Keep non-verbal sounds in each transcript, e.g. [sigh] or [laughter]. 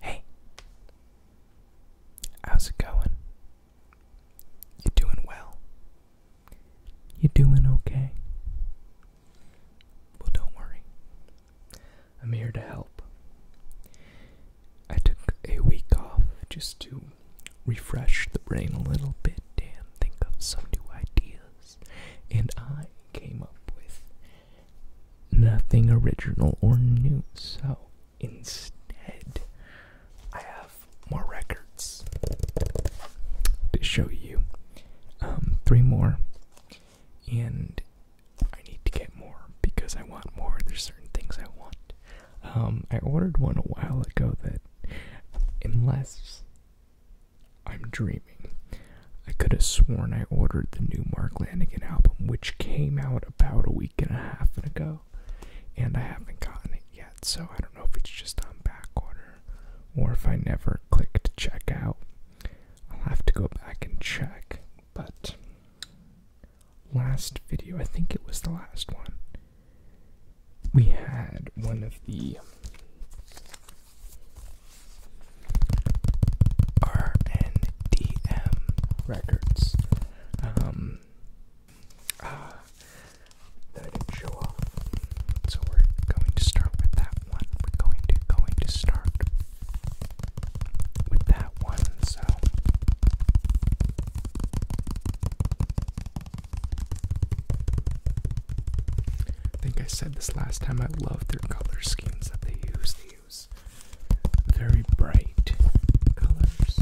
Hey, how's it going? You doing well? You doing okay? Well, don't worry. I'm here to help. I took a week off just to refresh the brain a little bit and think of some new ideas, and I came up with nothing original or new. So instead, I have more records to show you. Um, three more, and I need to get more because I want more. There's certain things I want. Um, I ordered one a while ago that, unless I'm dreaming, I could have sworn I ordered the new Mark Lanegan album, which came out about a week and a half ago, and I haven't gotten it yet, so I don't know if it's just on back order or if I never clicked check out. I'll have to go back and check, but last video, I think it was the last one, we had one of the RNDM Records. Um, ah, that I didn't show off. So we're going to start with that one. We're going to going to start with that one. So. I think I said this last time. I love their color schemes that they use very bright colors.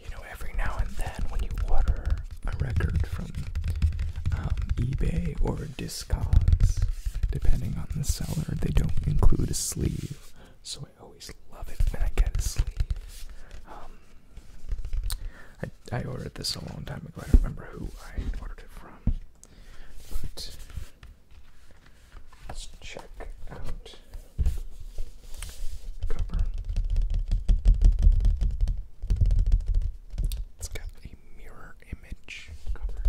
You know, every now and then when you order a record from um, eBay or Discogs, depending on the seller, they don't include a sleeve. So I always love it when I get a sleeve. Um, I, ordered this a long time ago. I don't remember who I ordered it from. But let's check out the cover. It's got a mirror image cover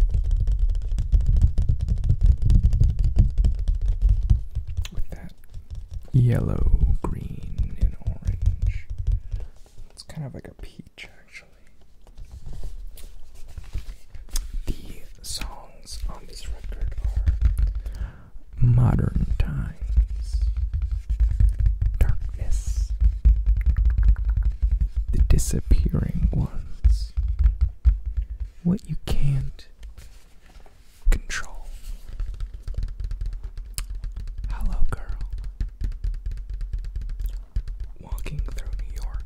with that yellow, green, and orange. It's kind of like a peach, actually. The songs on this record are Modern Times, Darkness, The Disappearing Ones, What You Can't control. Hello, girl. Walking through New York.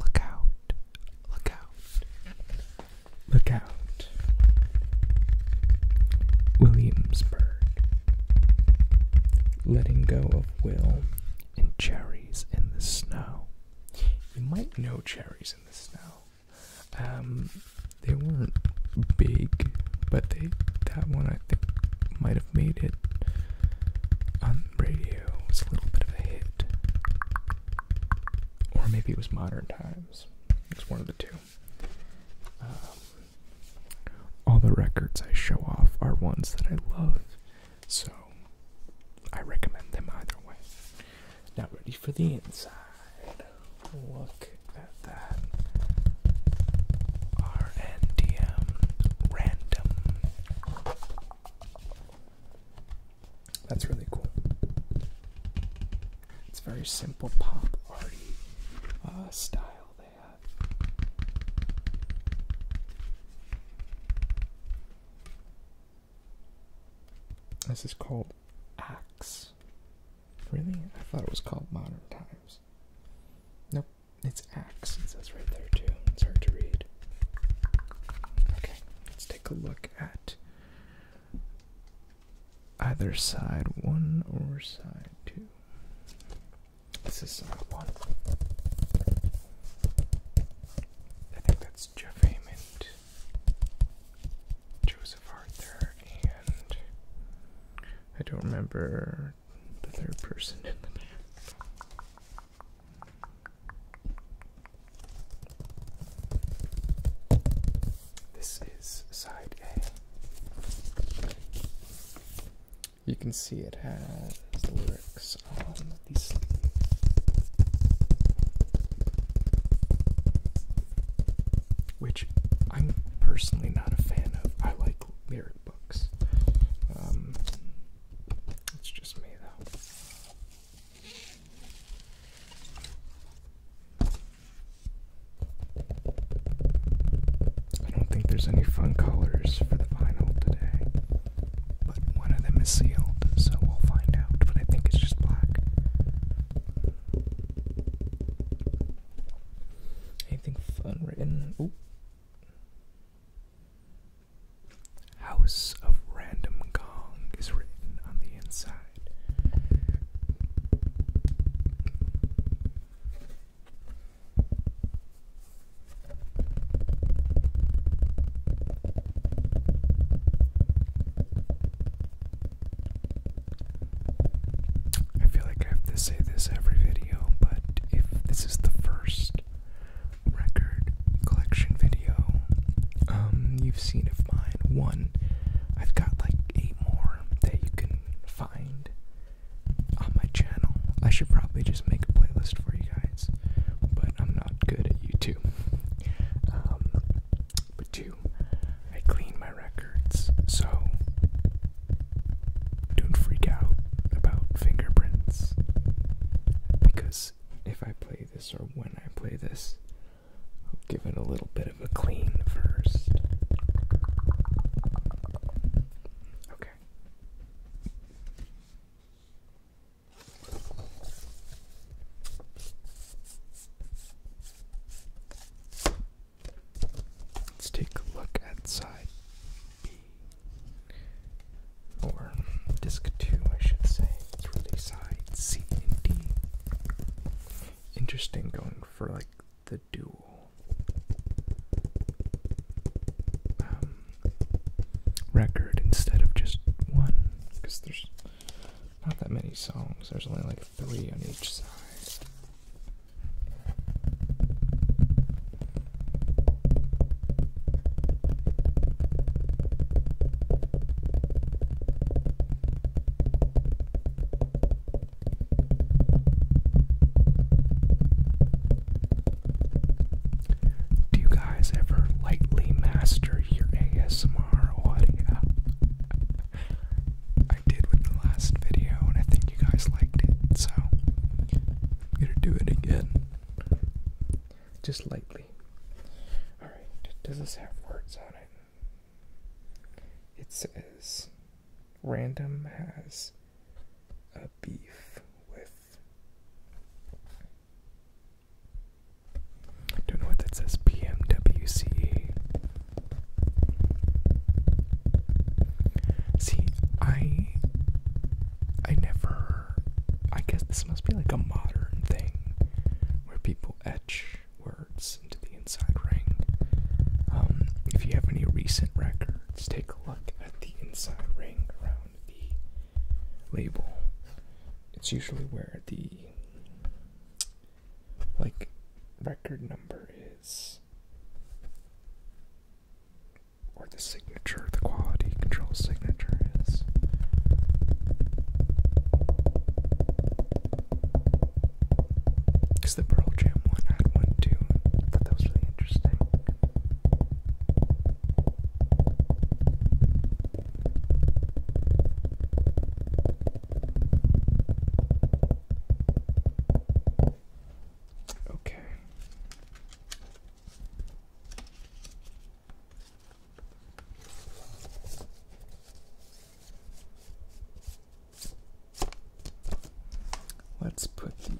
Look out. Look out. Look out. Williamsburg. Letting go of Will and cherries in the snow. You might know cherries in the snow. Um, they weren't big, but they that one I think might have made it on radio. Was a little bit of a hit, or maybe it was Modern Times. It was one of the two. Um, all the records I show off are ones that I love, so I recommend them either way. Now, ready for the inside. Look at that. RNDM random. That's really cool. It's very simple pop arty uh, style they have. This is called Axe Really? I thought it was called Modern Times. Nope, it's Axe. It says right there, too. It's hard to read. Okay, let's take a look at either side one or side two. This is side one. I think that's Jeff Hammond. Joseph Arthur, and I don't remember the third person in the back. This is side A. You can see it has lyrics on these which I'm personally not a fan of. I like lyric books. Um, it's just me, though. I don't think there's any fun colors for the vinyl today, but one of them is sealed, so we'll find out. But I think it's just black. Anything fun written? House of Random Gong is written on the inside. I feel like I have to say this every video, but if this is the first record collection video um, you've seen of mine, one I've got like eight more that you can find on my channel. I should probably just make a playlist for you guys, but I'm not good at YouTube. Um, but two, I clean my records, so don't freak out about fingerprints. Because if I play this or when I play this, I'll give it a little bit of a clean first. Okay. Let's take a look at side B. Or disc 2, I should say. It's really side C and D. Interesting going for like the dual um, record instead of just one not that many songs, there's only like three on each side. Do you guys ever lightly master your ASMR audio? I did with the last video, and I think you guys liked it, so I'm gonna do it again. Just lightly. Alright, does this have words on it? It says Random has a beef with. I don't know what that says. PMWCE. See, I I never I guess this must be like a modern thing where people etch words into the inside ring. Um, if you have any recent records, take a look at the inside ring around the label. It's usually where the like record number is or the signature, the quality control signature is. Because the Pearl Jam one thought that was really interesting. Okay. Let's put these in.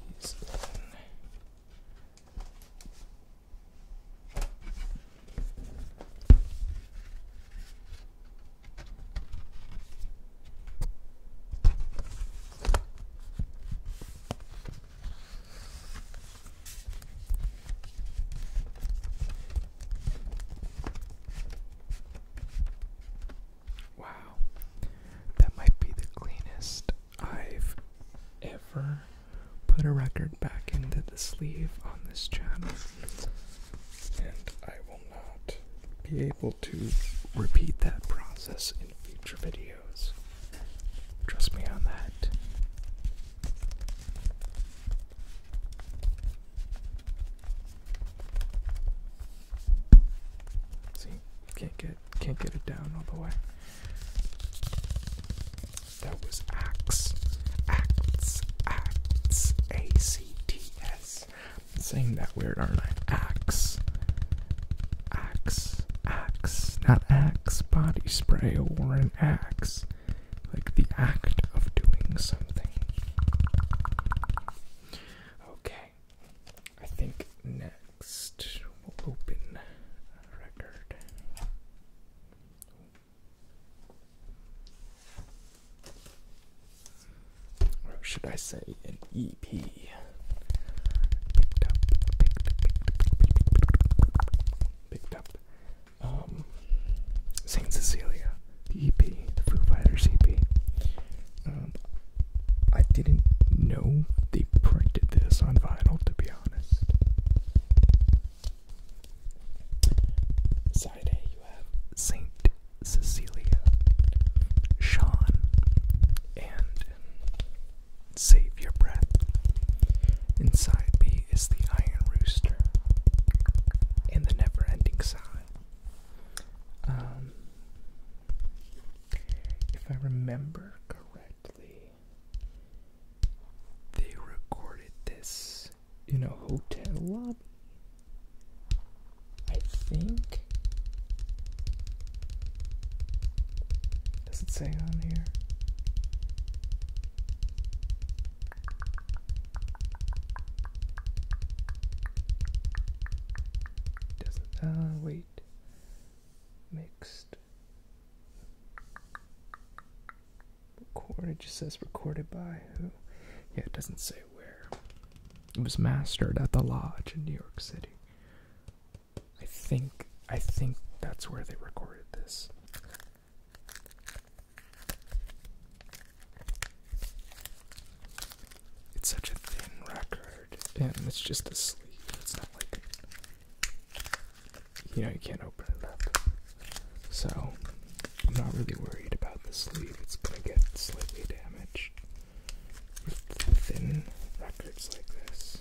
Wow, that might be the cleanest I've ever put a record back into the sleeve on this channel and I will not be able to repeat that process in future videos. Trust me on that. See, can't get can't get it down all the way. That was axe, acts, acts, A C T Yes. I'm saying that weird, aren't I? Axe. Axe. Axe. Not axe body spray or an axe. Like the act of doing something. Okay. I think next we'll open a record. Or should I say an EP? Um, Saint Cecilia, the EP, the Foo Fighters EP. Um, I didn't know they printed this on vinyl, to be honest. Saturday, you have Saint Cecilia, Sean, and Save Your Breath. Inside side B is the Iron Rooster and the Never Ending Sigh. Um, if I remember correctly, they recorded this in a hotel lobby. I think. Does it say on here? Doesn't. Ah, uh, wait. Mixed. Recorded. it just says recorded by who? Yeah, it doesn't say where. It was mastered at the lodge in New York City. I think I think that's where they recorded this. It's such a thin record, and it's just a sleeve. It's not like you know you can't open it up. So I'm not really worried about the sleeve. It's gonna get slightly damaged with thin records like this.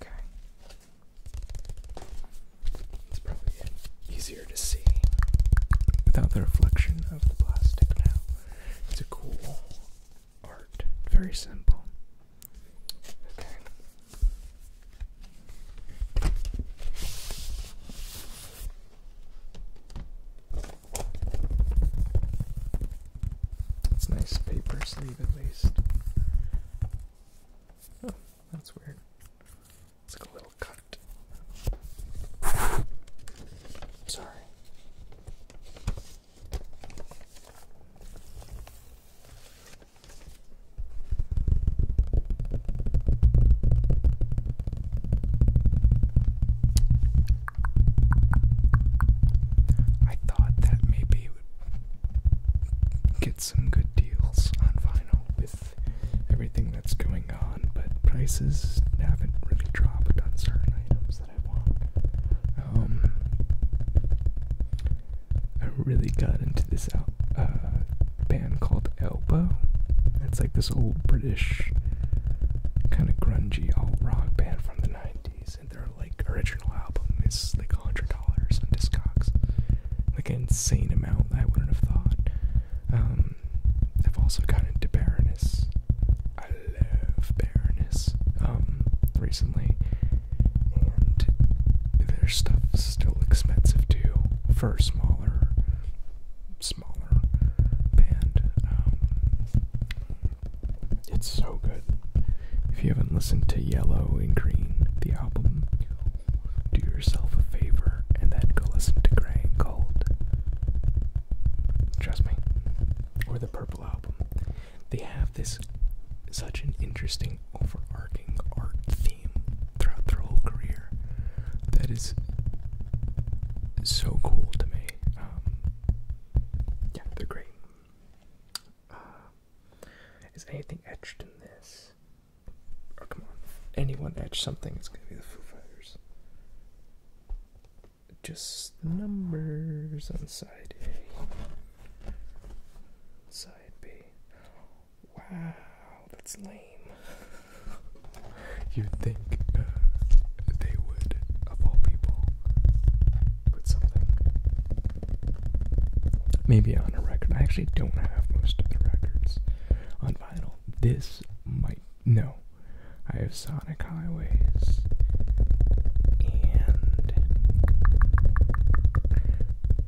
Okay. It's probably easier to see without the reflection of the plastic now. It's a cool art, very simple. Okay. It's nice paper sleeve at least. Oh, that's weird. It's like a little cut. Sorry. I thought that maybe it would get some good deals on vinyl with everything that's going on, but prices haven't really dropped on certain items that I want. Um, I really got into this out. Uh, band called Elbow. It's like this old British kind of grungy alt rock band from the 90s. Kids, and their like original album is like hundred dollars on Discogs, like an insane amount I wouldn't have thought. Um, I've also gotten into Baroness. I love Baroness. Um, recently, and their stuff's still expensive too for a smaller, smaller band. Um, it's so good. If you haven't listened to Yellow and Green, the album, do yourself a favor and then go listen to Gray and Gold. Trust me. Or the Purple album. They have this such an interesting overarching art theme throughout their whole career that is so cool to me. Um, yeah, they're great. Uh, is anything etched in this? Oh, come on. Anyone etch something, it's gonna be the Foo Fighters. Just numbers on side A. Side B. Wow, that's lame. [laughs] You'd think uh, they would, of all people, put something maybe on a record. I actually don't have most of the records on vinyl. This might no. I have Sonic Highways and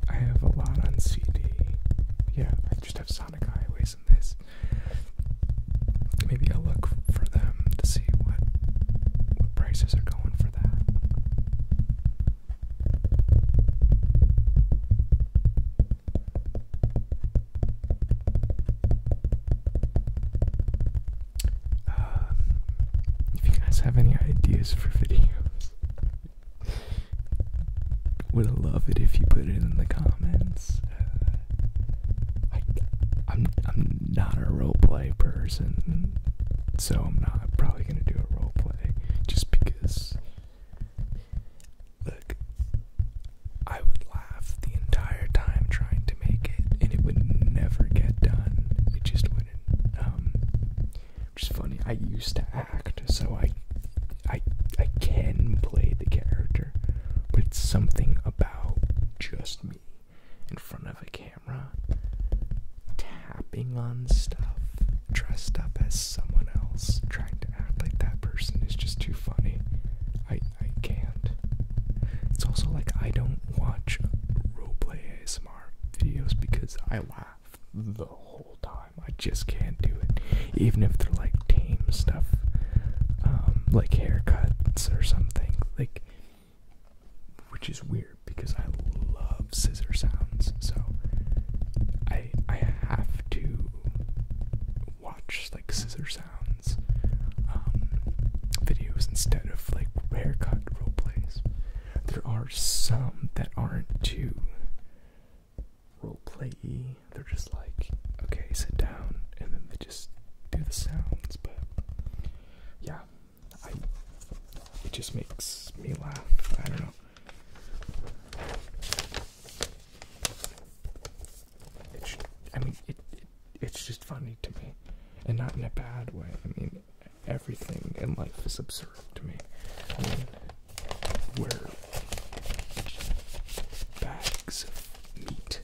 I have a lot on CD. Yeah, I just have Sonic Highways in this. Maybe I'll look for them to see what what prices are going for that. Um, if you guys have any ideas for videos, [laughs] would love it if you put it in the comments. Uh, I, I'm not a role play person, so I'm not probably gonna do a role play just because. Look, I would laugh the entire time trying to make it, and it would never get done. It just wouldn't. Um, which is funny. I used to act, so I, I, I can play the character, but it's something about just me in front of a camera tapping on stuff dressed up as someone else trying to act like that person is just too funny i i can't it's also like i don't watch roleplay asmr videos because i laugh the whole time i just can't do it even if they're like tame stuff um like haircuts or something like which is weird because I love scissor sounds. So I I have to watch like scissor sounds um, videos instead of like haircut role plays. There are some that aren't too role play They're just like okay, sit down, and then they just do the sounds. But yeah, it just makes me laugh. I don't know. It's, I mean, it, it's just funny to me, and not in a bad way. I mean, everything in life is absurd to me. I mean, we bags of meat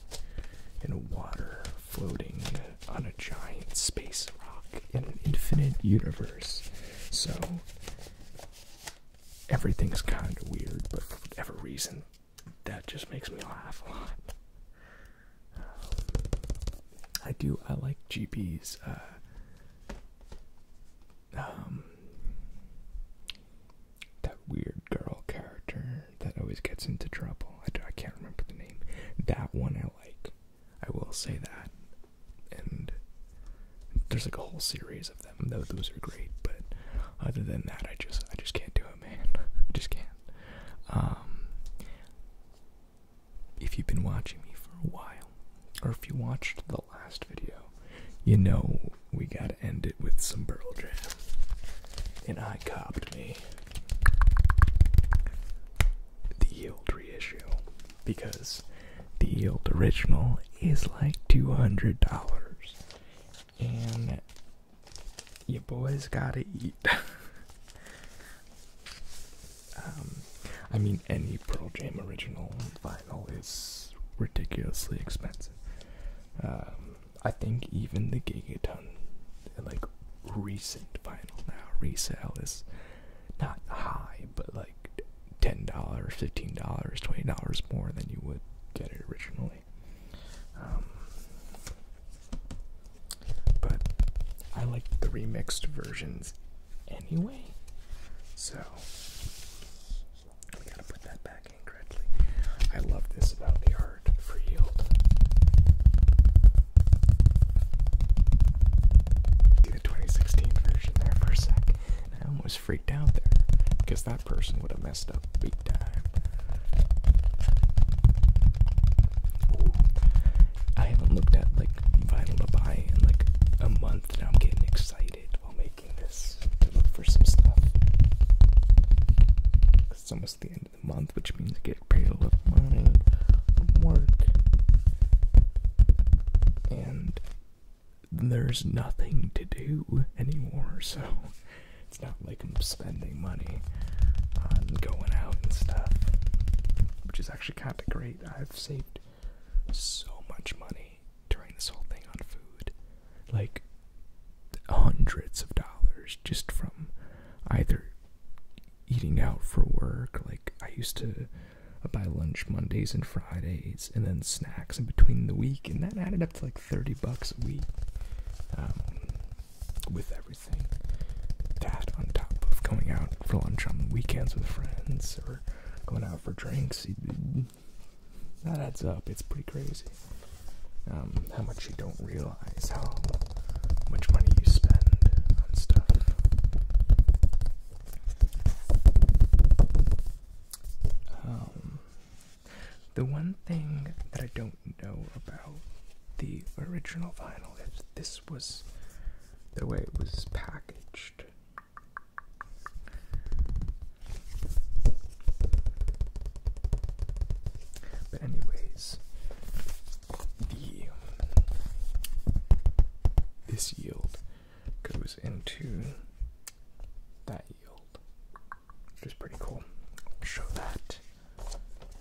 in water floating on a giant space rock in an infinite universe. So everything's kind of weird, but for whatever reason, that just makes me laugh a lot. I do. I like GP's. Uh, um, that weird girl character that always gets into trouble. I, I can't remember the name. That one I like. I will say that. And there's like a whole series of them. Though those are great, but other than that, I just I just can't do it, man. [laughs] I just can't. Um, if you've been watching me for a while, or if you watched the last video, you know we gotta end it with some Pearl Jam. And I copped me the yield reissue because the yield original is like $200 and your boys gotta eat. [laughs] Um, I mean, any Pearl Jam original vinyl is ridiculously expensive. Um, I think even the Gigaton, like recent final now resale is not high, but like ten dollars, fifteen dollars, twenty dollars more than you would get it originally. Um, but I like the remixed versions anyway, so we gotta put that back in I love this about the art card the 2016 version there for a sec. I almost freaked out there because that person would have messed up big time. I haven't looked at like vinyl to buy in like a month. Now I'm getting excited while making this to look for some stuff. It's almost the end the month, which means I get paid a little money from work. And there's nothing to do anymore, so it's not like I'm spending money on going out and stuff, which is actually kind of great. I've saved so much money during this whole thing on food, like hundreds of dollars just from either eating out for work. Like I used to I buy lunch Mondays and Fridays, and then snacks in between the week, and that added up to like thirty bucks a week. Um, with everything, that on top of going out for lunch on the weekends with friends or going out for drinks, that adds up. It's pretty crazy. Um, how much you don't realize how much money you spend on stuff. Um, the one thing that I don't know about the original vinyl is this was the way it was packaged. But, anyways, this yield goes into that yield, which is pretty cool. show that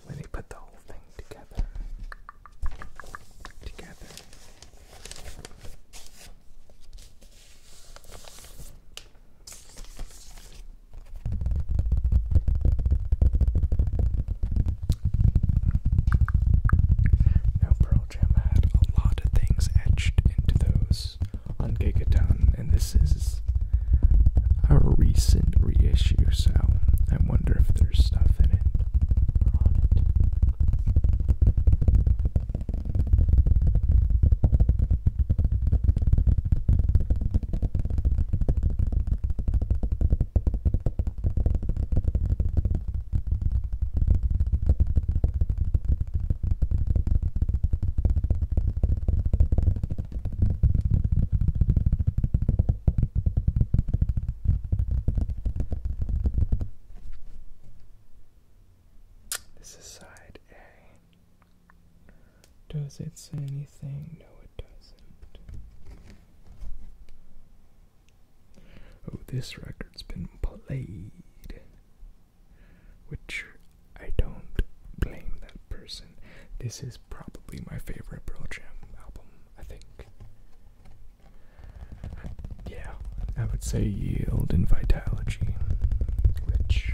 when they put the whole thing together. Together. Now, Pearl Jam had a lot of things etched into those on Gigaton, and this is a recent reissue, so I wonder if there's stuff in it. This is side A. Does it say anything? No, it doesn't. Oh, this record's been played. Which I don't blame that person. This is probably my favorite Pearl Jam album, I think. Yeah, I would say Yield and Vitality, which.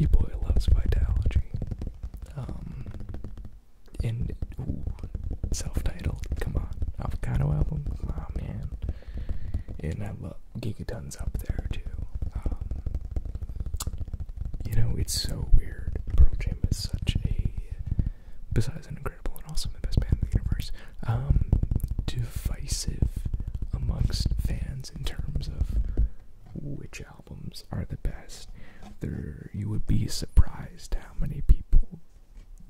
E boy loves Vitality. Um, and self-titled. Come on, avocado album. Oh man, and I love Gigaton's up there too. Um, you know, it's so weird. Pearl Jam is such a, besides an incredible and also the best band in the universe. Um, divisive amongst fans in terms of which albums are the best. There, you would be surprised how many people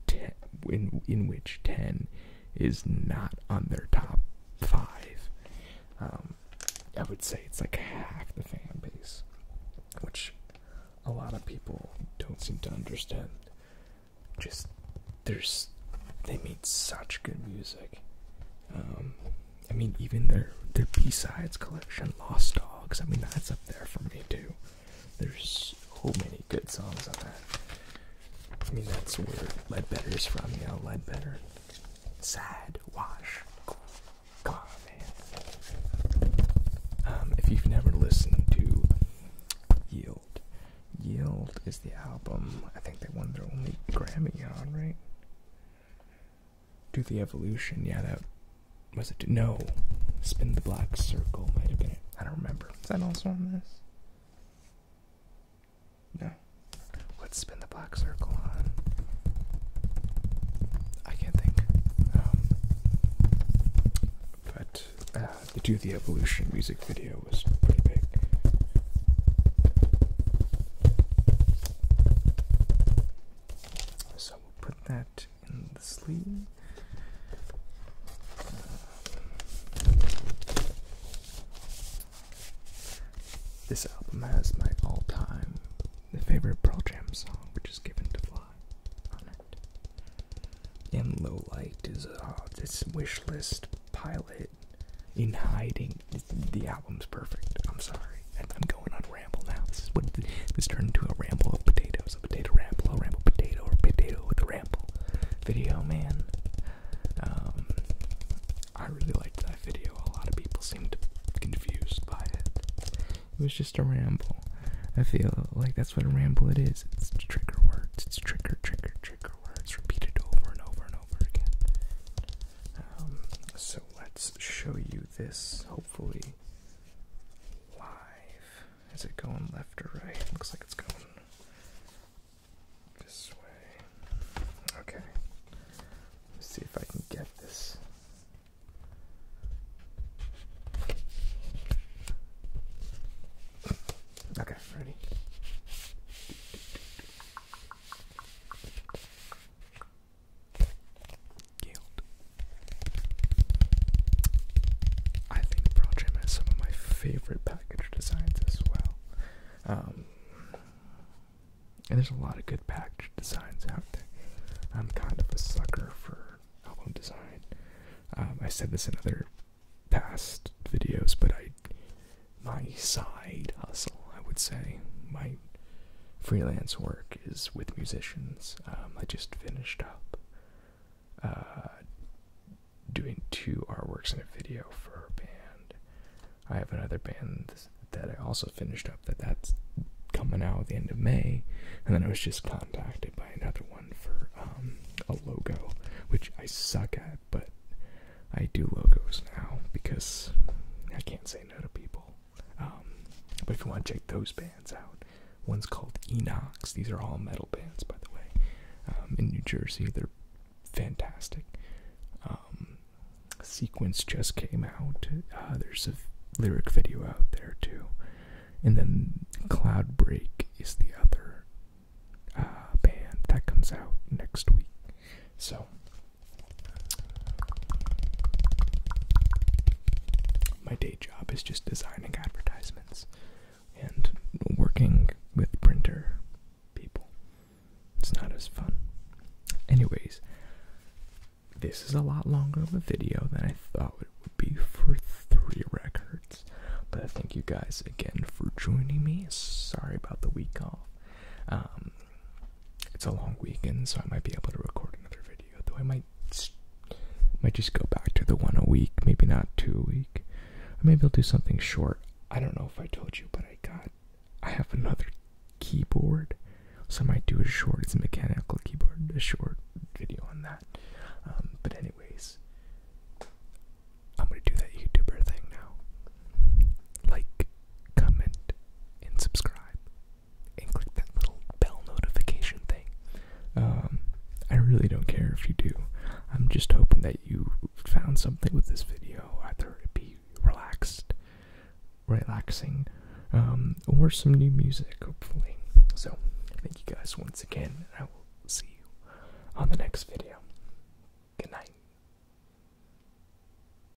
ten, in, which 10 is not on their top 5. Um, I would say it's like half the fan base, which a lot of people don't seem to understand. Just, there's, they made such good music. Um, I mean, even their their B-sides collection, Lost Dogs. I mean, that's up there for me too. There's so many good songs on that. I mean, that's where Ledbetter is from, you know, Ledbetter. Sad Wash. Come man. Um, if you've never listened to Yield, Yield is the album. I think they won their only Grammy on, right? Do the evolution. Yeah, that was it. No. Spin the black circle might have been it. I don't remember. Is that also on this? No. Let's spin the black circle on. I can't think. Um, but uh, the Do the Evolution music video was pretty big. So we'll put that in the sleeve. This album has my all-time favorite Pearl Jam song, which is "Given to Fly," In "Low Light" is a wish list pilot in hiding the album's perfect. I'm sorry. I'm going on ramble now. This is what this turned into a ramble of potatoes, a potato ramble, a ramble potato, or potato with a ramble video, man. Um, I really liked that video. A lot of people seemed confused by it. It was just a ramble. I feel like that's what a ramble it is. It's trigger words. It's trigger, trigger, trigger words repeated over and over and over again. Um, so let's show you this hopefully live. Is it going left or right? Looks like it's going this way. Okay. Let's see if I can get this. Okay, ready? I think Project has some of my favorite package designs as well. Um, and there's a lot of good package designs out there. I'm kind of a sucker for album design. Um, I said this in other past videos, but I, my side hustle, I would say, my freelance work is with musicians. Um, I just finished up uh, doing two artworks and a video for a band. I have another band that I also finished up that that's coming out at the end of May, and then I was just contacted by another one for um, a logo, which I suck at, but I do logos now because I can't say no to people. Um, but if you want to check those bands out, one's called Enox. These are all metal bands, by the way, um, in New Jersey. They're fantastic. Um, Sequence just came out. Uh, there's a lyric video out there too. And then Cloud Break is the other uh, band that comes out next week. So my day job is just designing advertisements and working with printer people. It's not as fun. Anyways, this is a lot longer of a video than I thought it would be for three records. But thank you guys again for joining me. Sorry about the week off. Um, it's a long weekend, so I might be able to record another video. Though I might might just go back to the one a week, maybe not two a week. Or maybe I'll do something short. I don't know if I told you, but I got I have another keyboard, so I might do a short. It's a mechanical keyboard, a short video on that. Um, but anyways, I'm gonna do that YouTuber thing now. Like, comment, and subscribe, and click that little bell notification thing. Um, I really don't care if you do. I'm just hoping that you found something with this video, either it be relaxed, relaxing, um, or some new music, hopefully. So, thank you guys once again, and I will see you on the next video. Good night.